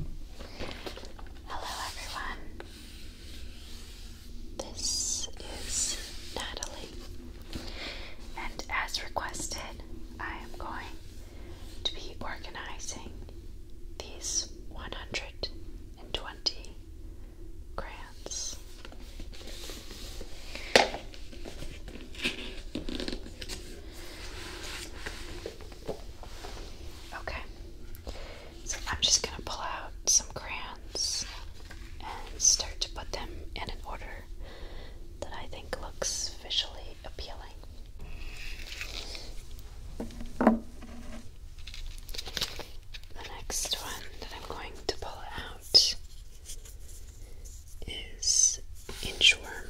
Hello everyone. This is Natalie, and as requested, I am going to be organizing these 120 grants. Okay. So I'm just going to pull out some crayons and start to put them in an order that I think looks visually appealing. The next one that I'm going to pull out is inchworm.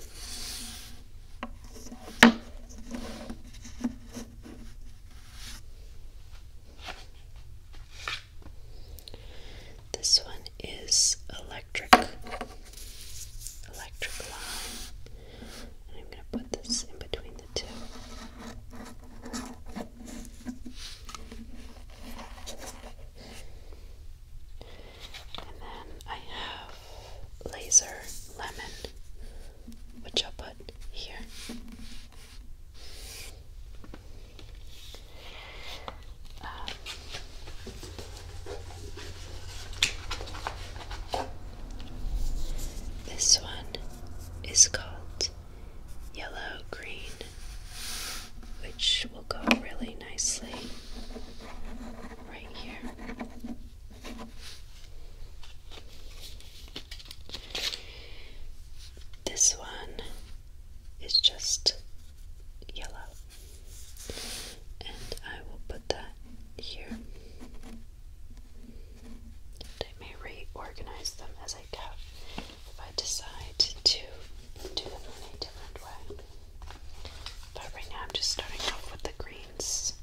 This one is electric, electric line, and I'm going to put this in between the two. And then I have laser lemon, which I'll put here. Um, this one is called yellow green, which will go really nicely right here. This one is just yellow, and I will put that here. I may reorganize them as I go if I decide to do them in a different way. But right now, I'm just starting off with the greens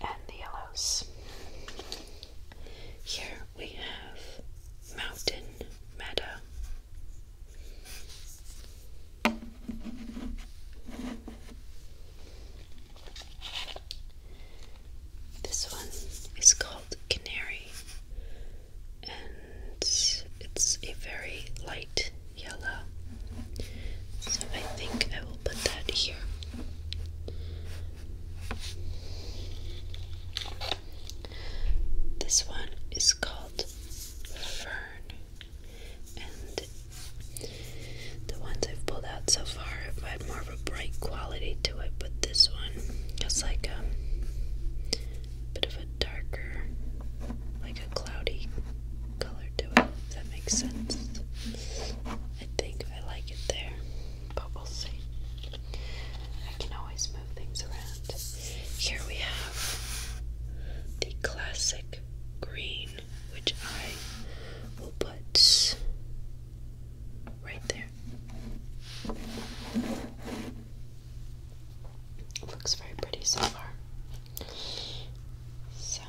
and the yellows. Here we have Mountain Meadow. This one is called Canary, and it's a very light yellow. So I think I will put that here. This one is called Fern, and the ones I've pulled out so far have had more of a bright quality to it, but this one has like a bit of a darker, like a cloudy color to it, if that makes sense. I think I like it there, but we'll see. I can always move things around. Here we have the classic green, which I will put right there. looks very pretty so far. So,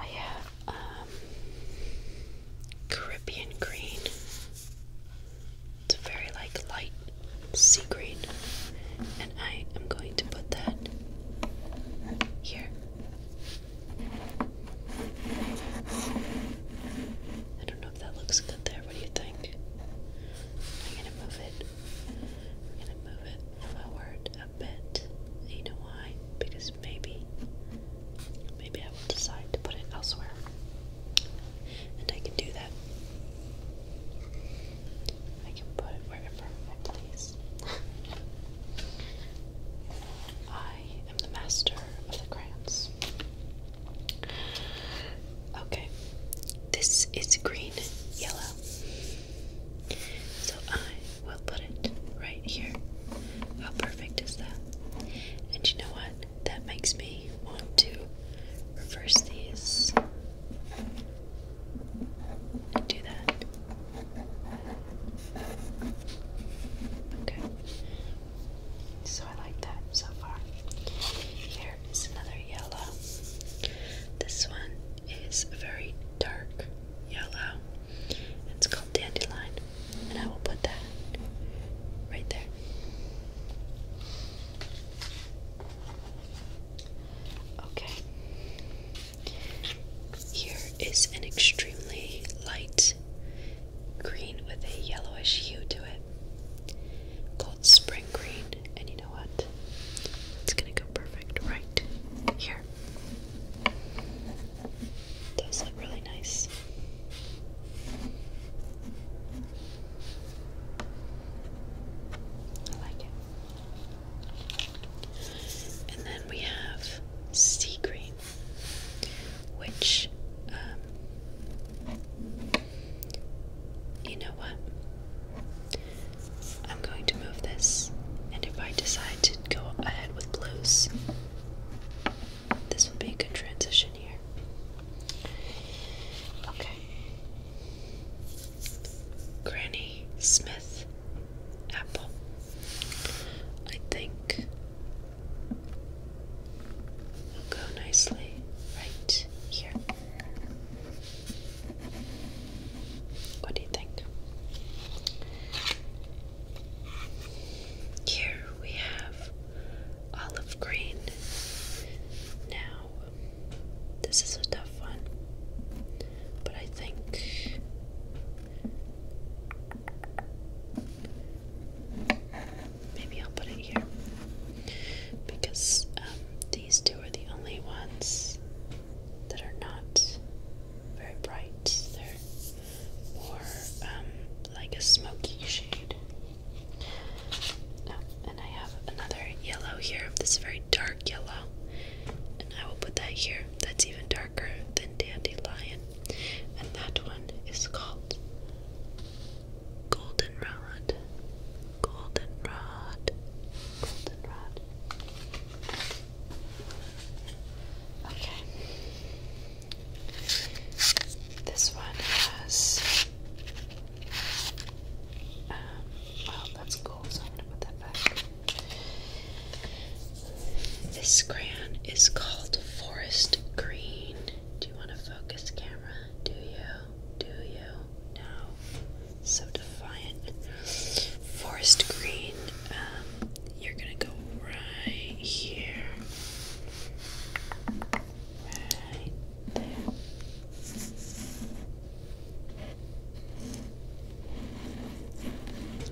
I have um, Caribbean green. It's a very like light sea green, and I am going to put that here. I don't know if that looks good there. What do you think? I'm gonna move it we're going to move it forward a bit. You know why? Because maybe, maybe I will decide to put it elsewhere. And I can do that. I can put it wherever I please. I am the master of the crayons. Okay, this is green, yellow. So I will put it right here. How perfect is that? And you know what? That makes me want to reverse these and do that. Okay. So I like that so far. Here is another yellow. This one is very dark yellow. It's called Dandelion, and I will put that right there. Okay. Here is an extremely light green with a yellowish hue to it called Spring Green. And you know what? It's gonna go perfect right here. Those look really nice. I like it. And then we have sea green, which, um, you know what? I'm going to move this, and if I decide to go ahead with blues, this will be a good transition here. Okay. Granny Smith Apple. I think will go nicely right here. What do you think? Here we have olive green. Now, this is a tough one, but I think maybe I'll put it here because um, these two are the only ones that are not very bright. They're more um, like a smoky shade. Oh, and I have another yellow here, this very dark yellow. And I will put that here. That's even darker than dandelion. And that one is called goldenrod. Goldenrod. Goldenrod. Okay. This one has. Um, that's cool, so I'm going to put that back. This crayon is called Forest Green. Do you want to focus, camera? Do you? Do you? No so defiant. Forest green, um, you're gonna go right here. Right there.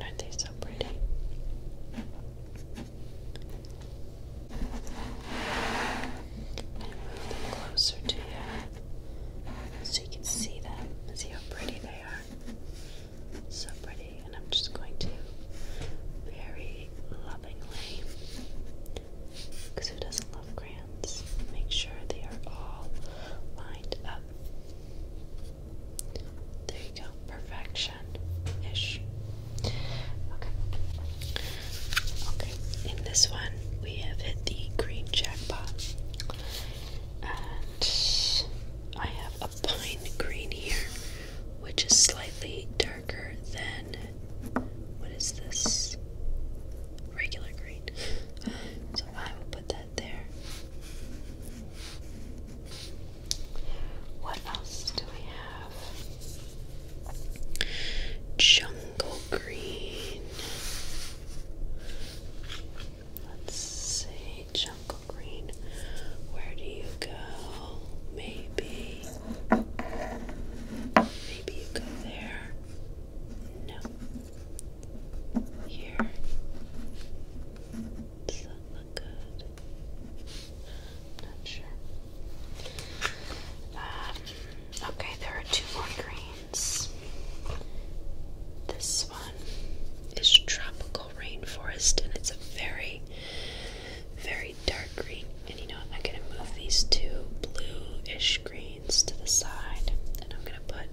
Aren't they so pretty? And move them closer to you so you can see them, see how pretty they they are so pretty, and I'm just going to very lovingly, because who doesn't love crayons, make sure they are all lined up. There you go, perfection-ish. Okay. Okay, in this one, we have hit the green jackpot. I have a pine green here, which is slightly darker than what is this? Regular green. So I will put that there. What else do we have? Jungle green. Let's see, jungle green. Where do you go? Maybe. Maybe you go there. No. Here. Does that look good? Not sure. Um, okay, there are two more greens. This one is tropical rainforest and it's a very, very dark green. And you know I'm going to move these two bluish greens to the side and I'm going to put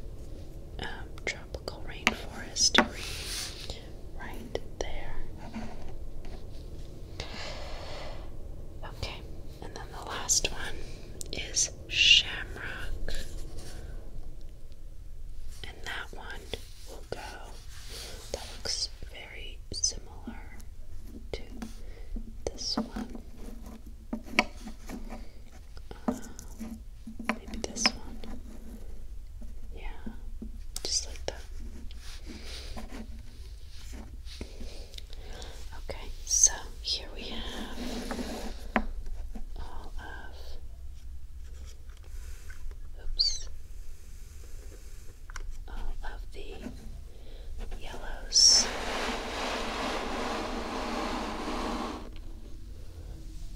um, tropical rainforest right there. Okay, and then the last one is shamrock. And that one will go. That looks very similar to this one. Uh, maybe this one. Yeah, just like that. Okay, so here we have all of oops, all uh, of the yellows.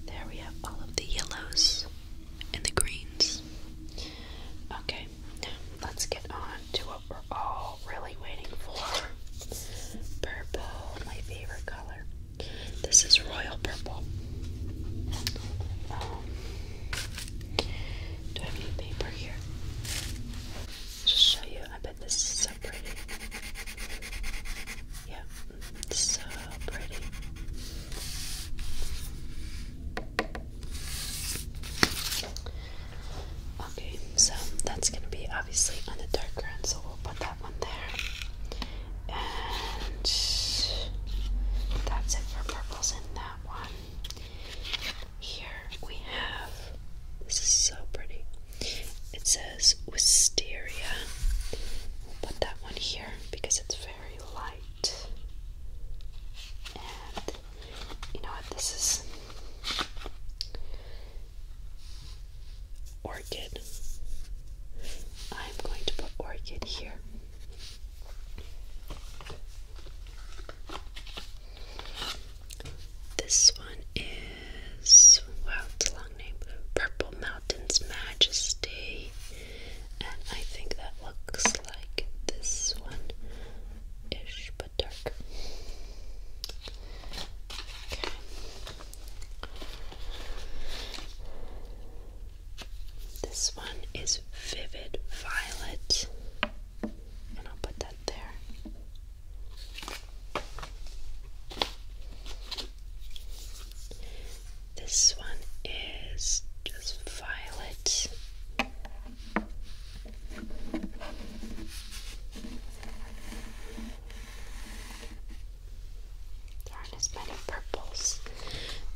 There we have all of the yellows and the greens. Okay, let's get on to what we're all really waiting for. Purple, my favorite color. This is royal purple. do I have any paper here? Just show you. I bet this is so pretty. Yeah, so pretty. Okay, so that's gonna be obviously on the dark ground, so we'll put that one there. And that's it for purples in that one. Here we have this is so pretty. It says wisteria. We'll put that one here because it's very light. And you know what? This is orchid. I'm going to put orchid here. This one is, wow, it's a long name, Purple Mountain's Majesty. And I think that looks like this one ish, but dark. This one is vivid violet, and I'll put that there. This one is just violet. There aren't as many purples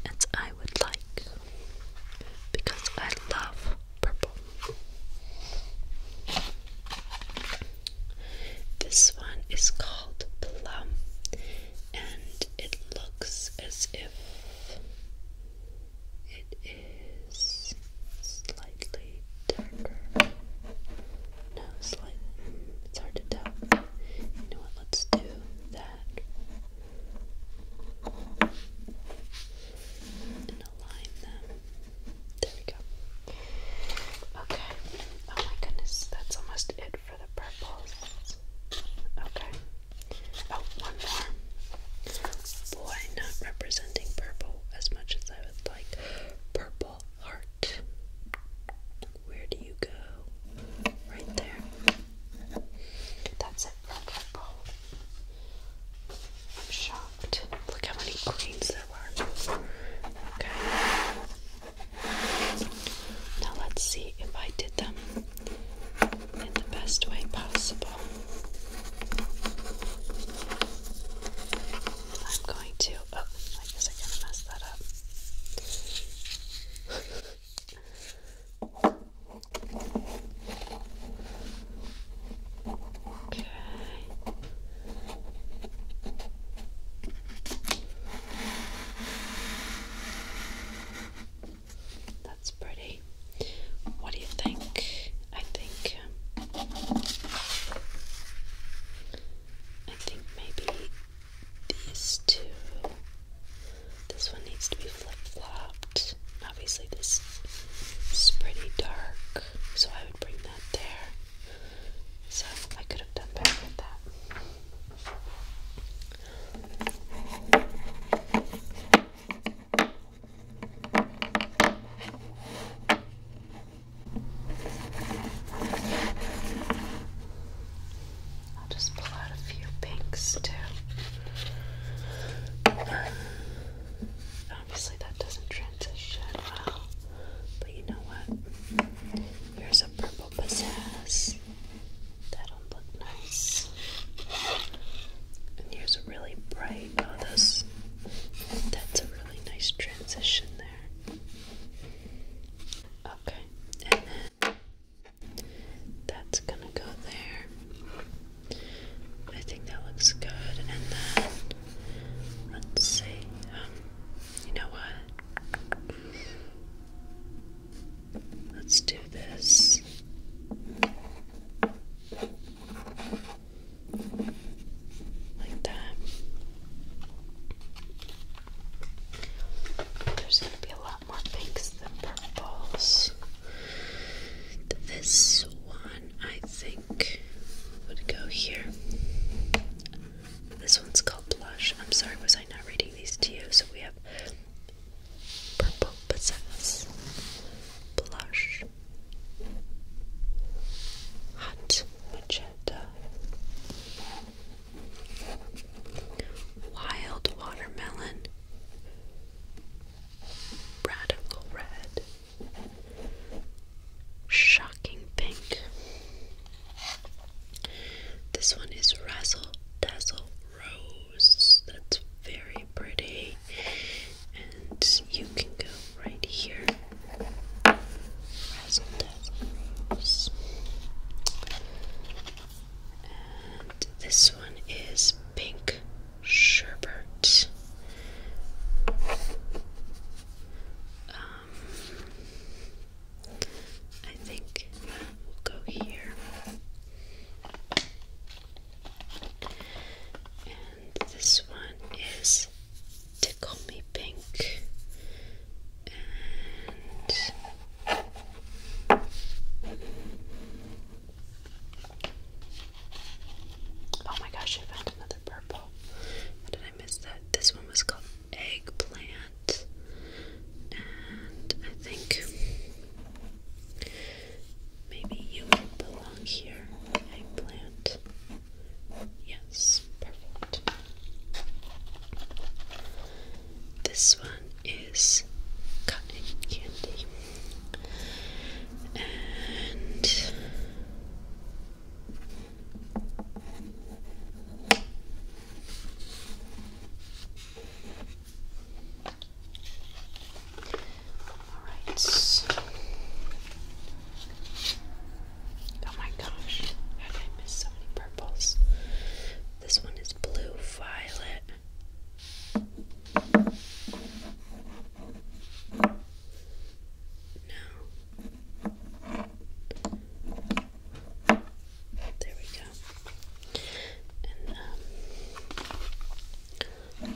as I would like because I love purple. This one is called Plum and it looks as if it is slightly darker nose like it's hard to tell. You know what? Let's do that and align them. There we go. Okay. Oh my goodness, that's almost it for the purples. Okay. Oh, one more. Boy, not representing purple as much as I would like. Purple heart. Where do you go? Right there. That's it shocked. Look how many greens there were. Okay. Now let's see if I did them in the best way possible. I'm going to. Oh, I guess I kind of messed that up okay. That's pretty. What do you think? I think um, I think maybe these two. This one needs to be flip flopped. Obviously, this is pretty dark, so I would bring that there. So I could have done better with that. I'll just pull out a few pinks too. Obviously, that doesn't transition well, but you know what? Here's a purple possess. That'll look nice. And here's a really bright. Oh, those, that's a really nice transition there. Okay, and then that's gonna go there. I think that looks good. And then let's see. Um, you know what? Let's do this. Like that. There's going to be a lot more pinks than purples. This one, I think, would go here. This one's called Blush. I'm sorry, was I not reading these to you? So we have Purple Possess, Blush, Hot Magenta, Wild watermelon, radical red, shocking pink. This one is Razzle Dazzle Rose. That's very pretty, and you can go right here, this one is pink sherbet. Um, I think that will go here. And this one is Tickle pink oh my gosh, I found another purple. How did I miss that? This one was called eggplant, and I think maybe you belong here. Eggplant. Yes, perfect. This one is cotton candy, and all right. Oh my gosh, how did I miss so many purples? This one is blue violet. No. There we go. And um, I'm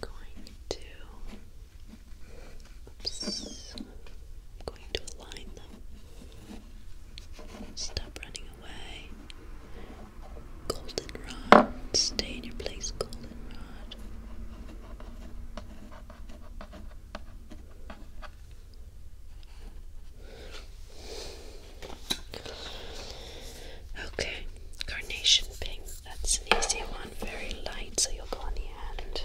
going to. I'm going to align them. Stop running away. Goldenrod. Stay in your place, goldenrod. Okay, carnation pink. That's an easy one, very light, so you'll go on the end.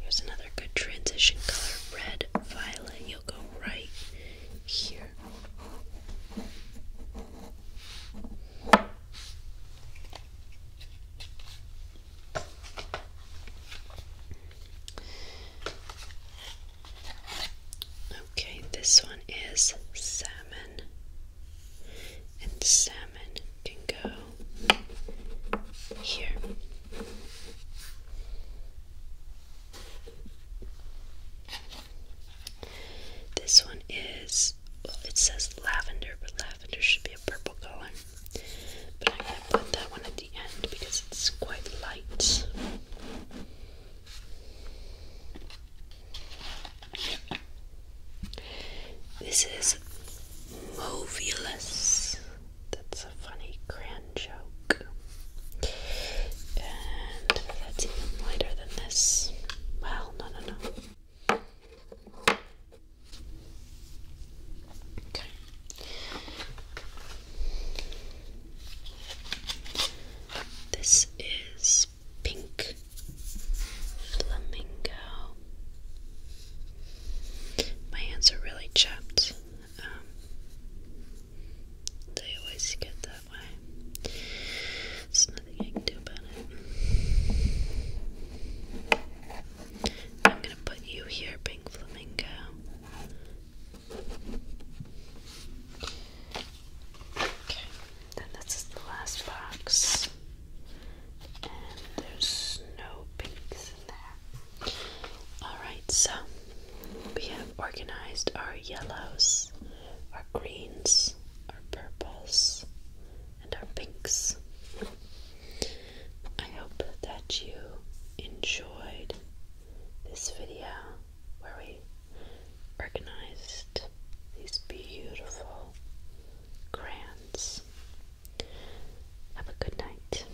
Here's another good transition color, red violet. You'll go right here. Okay, this one is salmon, and salmon can go here. This one is, it says lavender, but lavender should be a purple color. But I'm going to put that one at the end because it's quite light. This is Movieless. That's a funny crayon joke. And that's even lighter than this. Well, no, no, no. Okay. This is pink flamingo. My hands are really chapped. Um, they always get that way. There's nothing I can do about it. I'm gonna put you here, Pink Flamingo. Okay, then this is the last box. And there's no pink Alright, so we have organized our yellows, our greens, our purples, and our pinks. I hope that you enjoyed this video where we organized these beautiful crayons. Have a good night.